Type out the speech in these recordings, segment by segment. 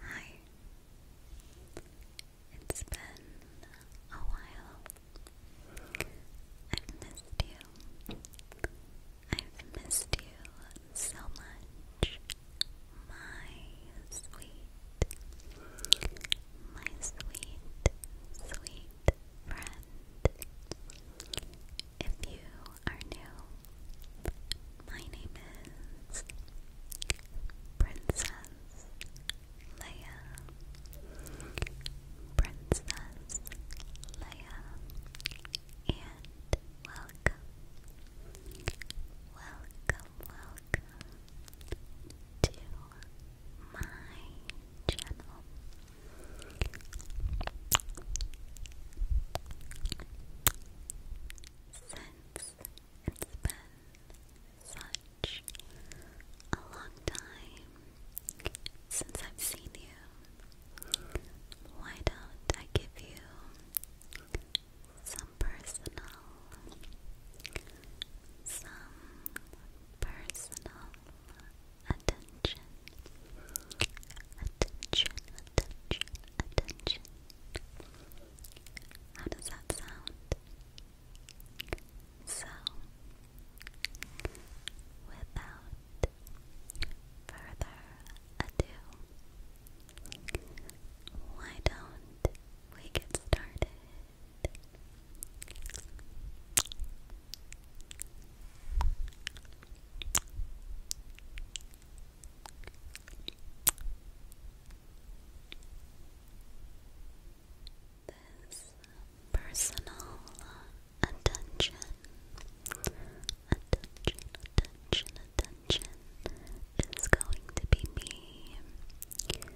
Hi. It's been a while. I've missed you. I've missed you so much. My sweet, my sweet, sweet friend. If you are new, my name is Princess Leia. Princess Leia, and welcome, welcome, welcome to my channel since it's been such a long time since I've seen you. Why don't I give you some personal, some personal attention, attention, attention, attention. How does that sound? So, without further ado, why don't we get started? This personal attention, attention, attention, attention is going to be me. It's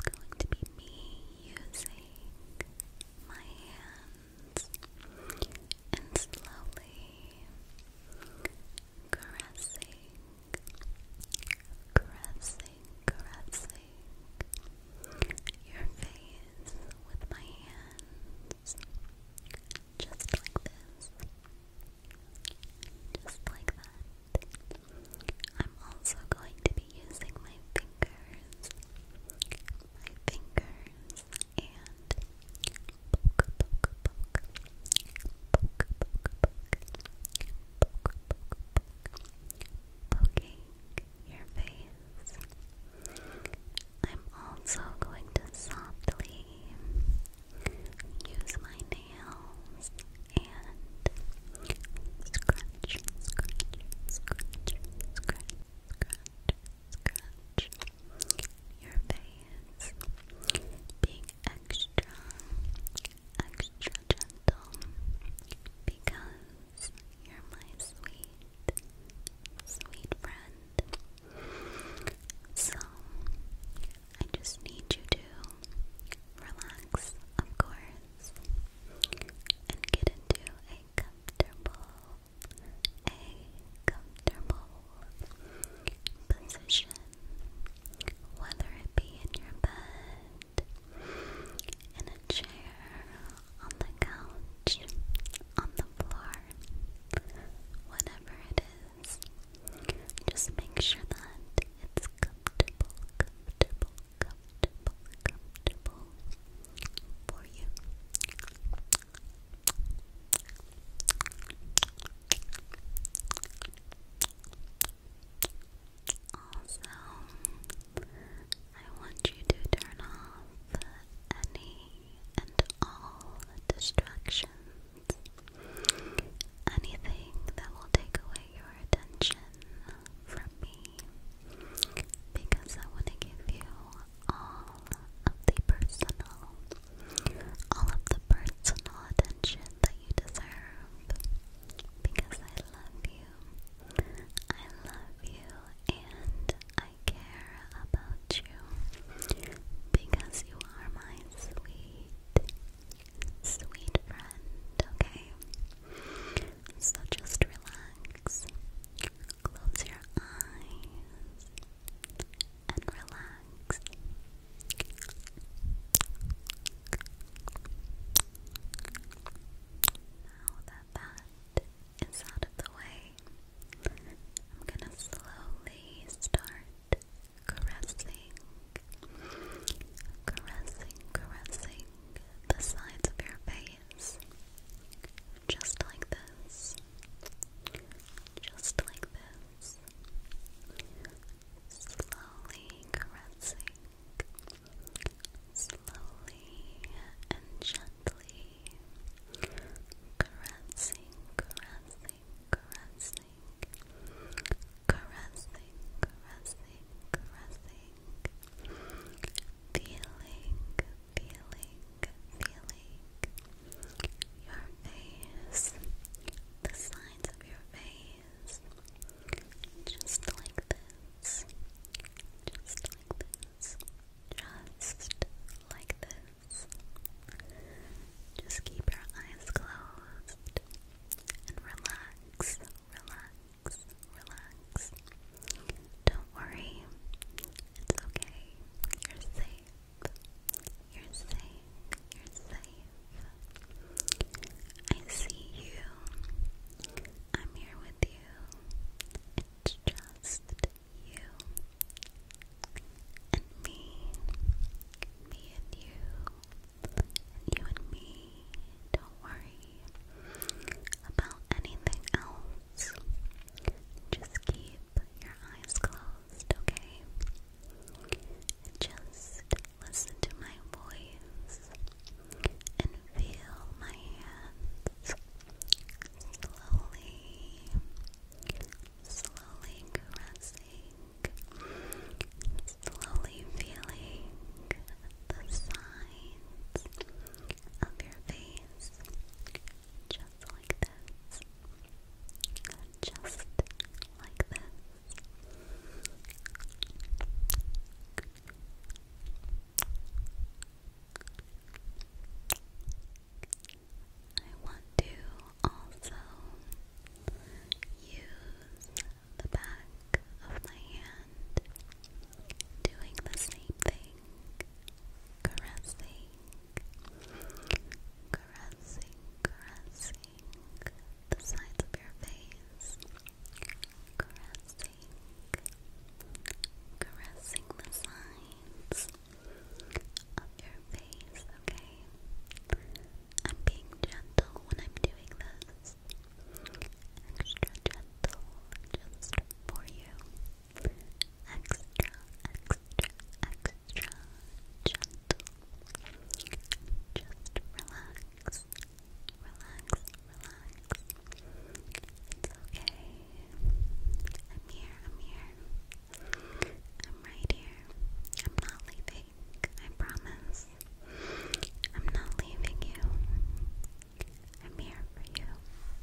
going to be me using my hands and slowly caressing, caressing, caressing your face with my hands, just like this, just like that. I'm also going to be using my fingers, my fingers and poking your face. I'm also going to softly use my nails and scratch, scratch, scratch, scratch scratch your face, being extra, extra gentle because you're my sweet, sweet friend. So, I just need you to relax, of course, and get into a comfortable a comfortable position, whether it be in your bed, in a chair, on the couch, on the floor, whatever it is. Just make sure that it's comfortable, comfortable, comfortable, comfortable for you, also, I want you to turn off any and all distractions. Anything that will take away your attention from me because I want to give you all of the personal, all of the personal attention that you deserve. Because I love you. I love you and I care about you. Because you are my sweet, sweet friend, okay? So just relax. Close your eyes and relax. Now that that is out of the way, I'm going to slowly start caressing, caressing, caressing the sides of your face. Just like this. Just like this. Slowly caressing. Slowly and gently caressing, caressing, caressing, caressing, caressing, caressing, feeling, feeling, feeling your face, the sides of your face, just like this, just like this, just like this. Just keep your eyes closed and relax, relax, relax. Don't worry. It's okay. You're safe. You're safe. You're safe. I see you. I'm here with you. It's just you and me. Me and you. you and me. Don't worry about anything else. Just keep your eyes closed, okay? Just listen to my voice and feel my hands slowly, slowly caressing, slowly feeling the signs of your face, just like this, just like this. I want to also use the back of my hand doing the same thing, caressing, caressing, caressing the sides of your face, caressing, caressing the sides of your face, okay? I'm being gentle when I'm doing this. Extra gentle just for you extra, extra, gentle. Just relax, relax, relax. It's okay. I'm here, I'm here. I'm right here. I'm not leaving. I promise. I'm not leaving you. I'm here for you.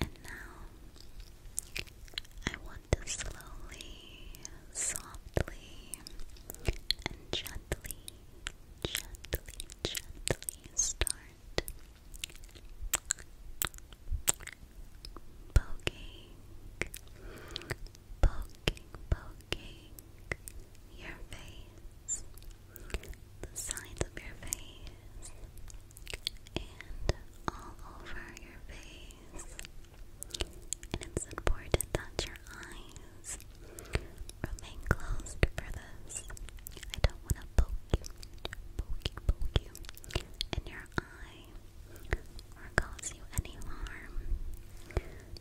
And now I want to slowly, softly, and gently, gently, gently start poking, poking, poking your face, the sides of your face and all over your face. And it's important that your eyes remain closed for this. I don't want to poke you, poke you, poke you in your eye or cause you any harm.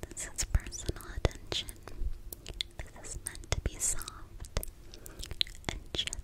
This is personal attention. This is meant to be soft and gentle.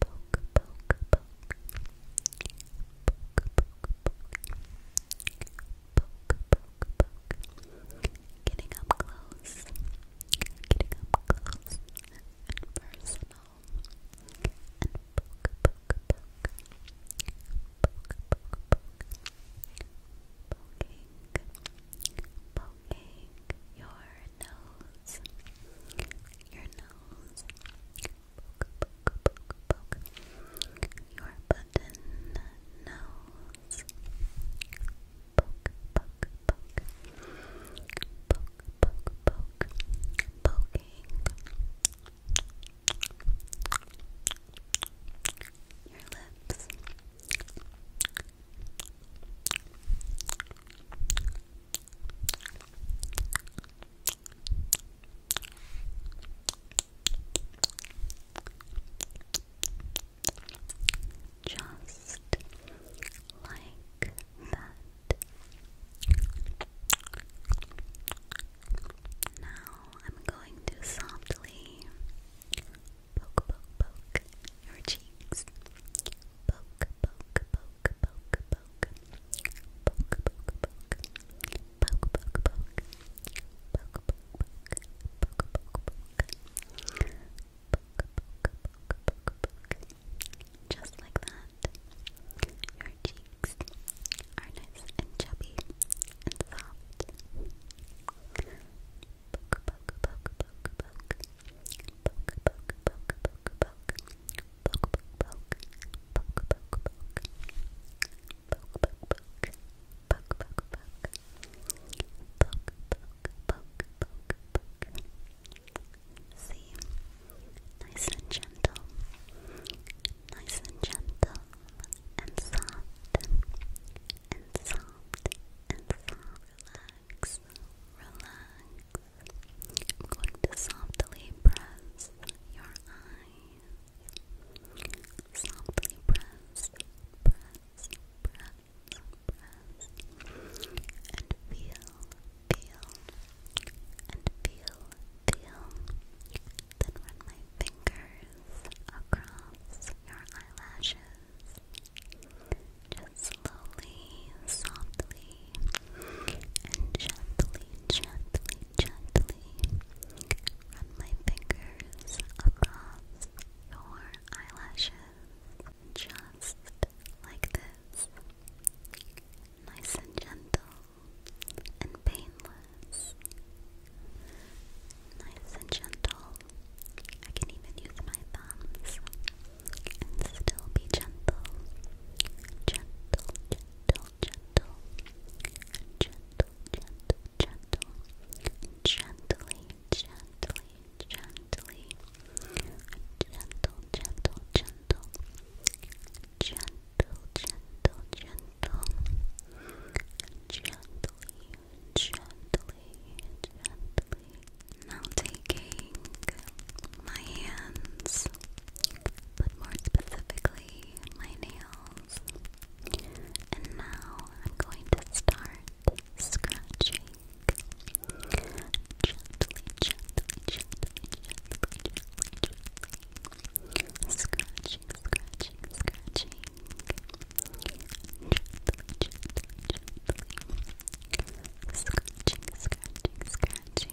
poke, poke, Getting up close. Getting up close and personal. And Poking, poking your nose. Your nose poke, poke, your button nose. Poke, poke, poke, poke, poke, poke, poking your lips. Just like that. Now I'm going to softly poke, poke, poke your cheeks. Poke, poke, poke, Just like that, your cheeks are nice and chubby and soft poke, poke, poke, poke, poke, poke, poke, poke, poke, poke, poke, poke, poke, poke, poke. See, nice and gentle, nice and gentle, and soft, and soft, and soft. Relax, relax. I'm going to softly press your eyes. Softly press, press, press, press, and feel, feel, and feel, feel. Then run my fingers across your eyelashes. Just slowly, softly, and gently, gently, gently run my fingers across your eyelashes just like this. Nice and gentle and painless. Nice and gentle. I can even use my thumbs and still be gentle. Gentle, gentle, gentle. Gentle, gentle, gentle. Gently, gently, gently. Gentle, gentle, gentle. Gentle, gentle, gentle. Gently, gently, gently. Now taking my hands, but more specifically my nails, and now I'm going to start scratching gently, gently, gently, gently, gently, scratching, scratching, scratching, gently, gently, gently. Scratching, scratching, scratching,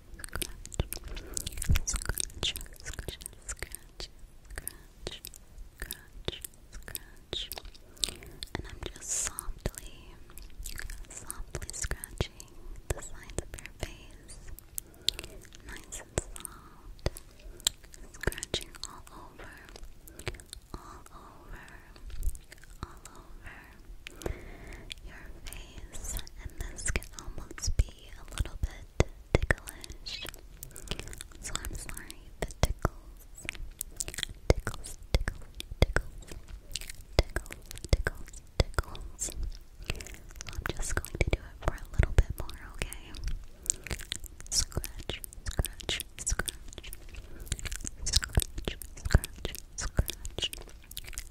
scratch, scratch, scratch, scratch, scratch, scratch, and I'm just softly, softly scratching the sides of your face, nice and soft, scratching all over, all over, all over your face, and this can almost be a little bit ticklish. So I'm sorry if it tickles. Tickles, tickles, tickles, tickles, tickles. I'm just going to do it for a little bit more, okay? Scratch, scratch, scratch. Scratch, scratch, scratch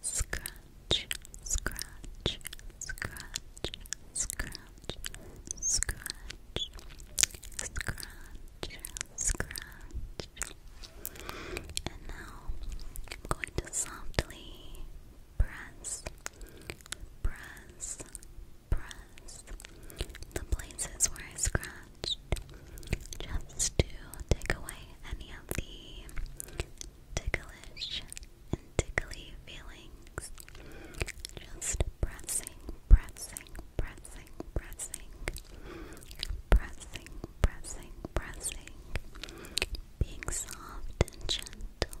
scratch, scratch, scratch, scratch, scratch, scratch, scratch. And now I'm going to softly press, press, press the places where I scratched just to take away any of the ticklish and tickly feelings. Just pressing, pressing, pressing, pressing, pressing, pressing, pressing. Being soft and gentle,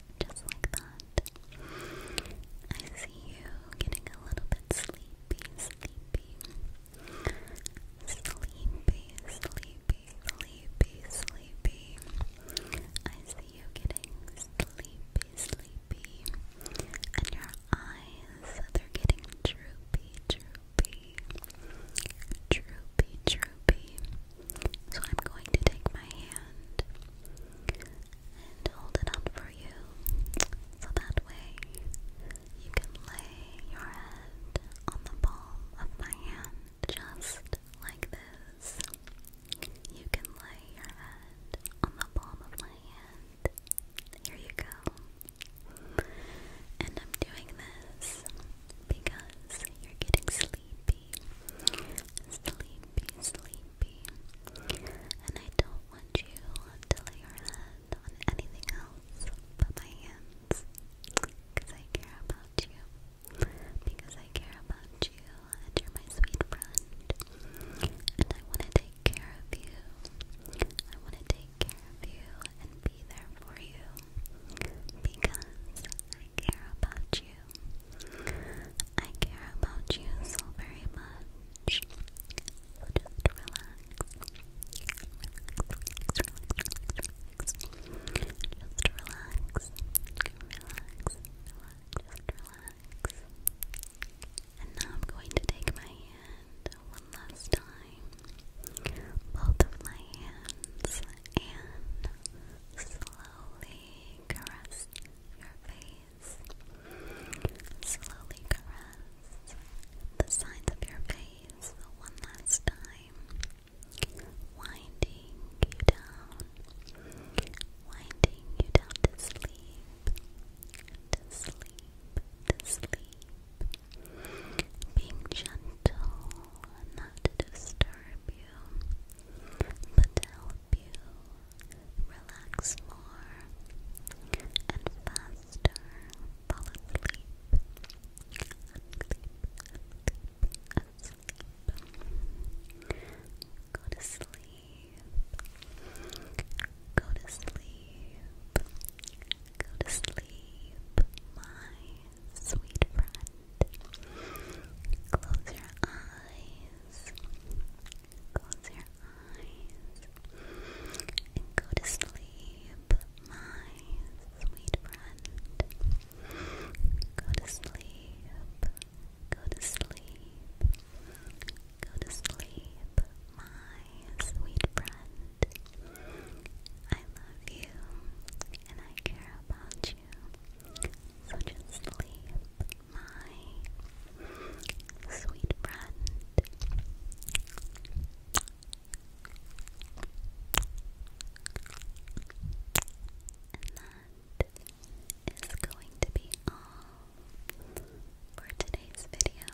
just like that. I see you getting a little bit sleepy, sleepy. Sleepy, sleepy, sleepy, sleepy. I see you getting sleepy, sleepy. And your eyes, they're getting droopy, droopy. Droopy, droopy. So I'm going to take my hand and hold it up for you so that way you can lay your head on the palm of my hand just like this. You can lay your head on the palm of my hand. Here you go. And I'm doing this because you're getting sleepy. Sleepy, sleepy. And I don't want you to lay your head on anything else but my hands. Because I care about you. Because I care about you, and you're my sweet friend. And I want to take care of you. I want to take care of you and be there for you. Because I care about you you. I care about you so very much. just relax. Relax, relax, relax, relax. relax. relax. And now I'm going to take my hand one last time. Both of my hands and slowly caress your face. Slowly caress the sides of your face one last time. Winding you down. Winding you down to sleep. To sleep. To sleep. Being gentle not to disturb you, but to help you relax more and faster fall asleep. Asleep, asleep, asleep. Go to sleep. Go to sleep. Go to sleep, my sweet friend. Close your eyes. Close your eyes. And go to sleep, my sweet friend. Go to sleep. Go to sleep. Go to sleep, my sweet friend. I love you and I care about you such as sleep, my sweet friend. And that is going to be all for today's video.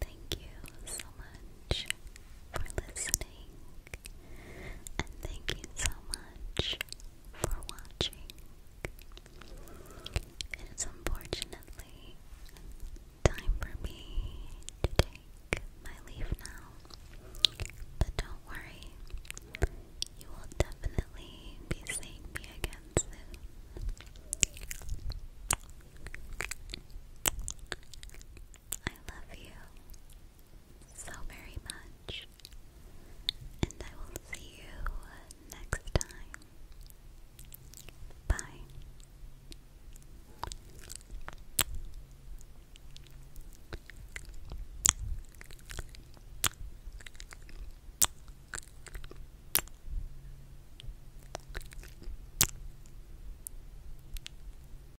Thank you so much for listening and thank you so much for watching. It is unfortunately time for me to take my leave now, but don't worry, you will definitely be seeing me again soon. I love you so very much, and I will see you next time. Bye.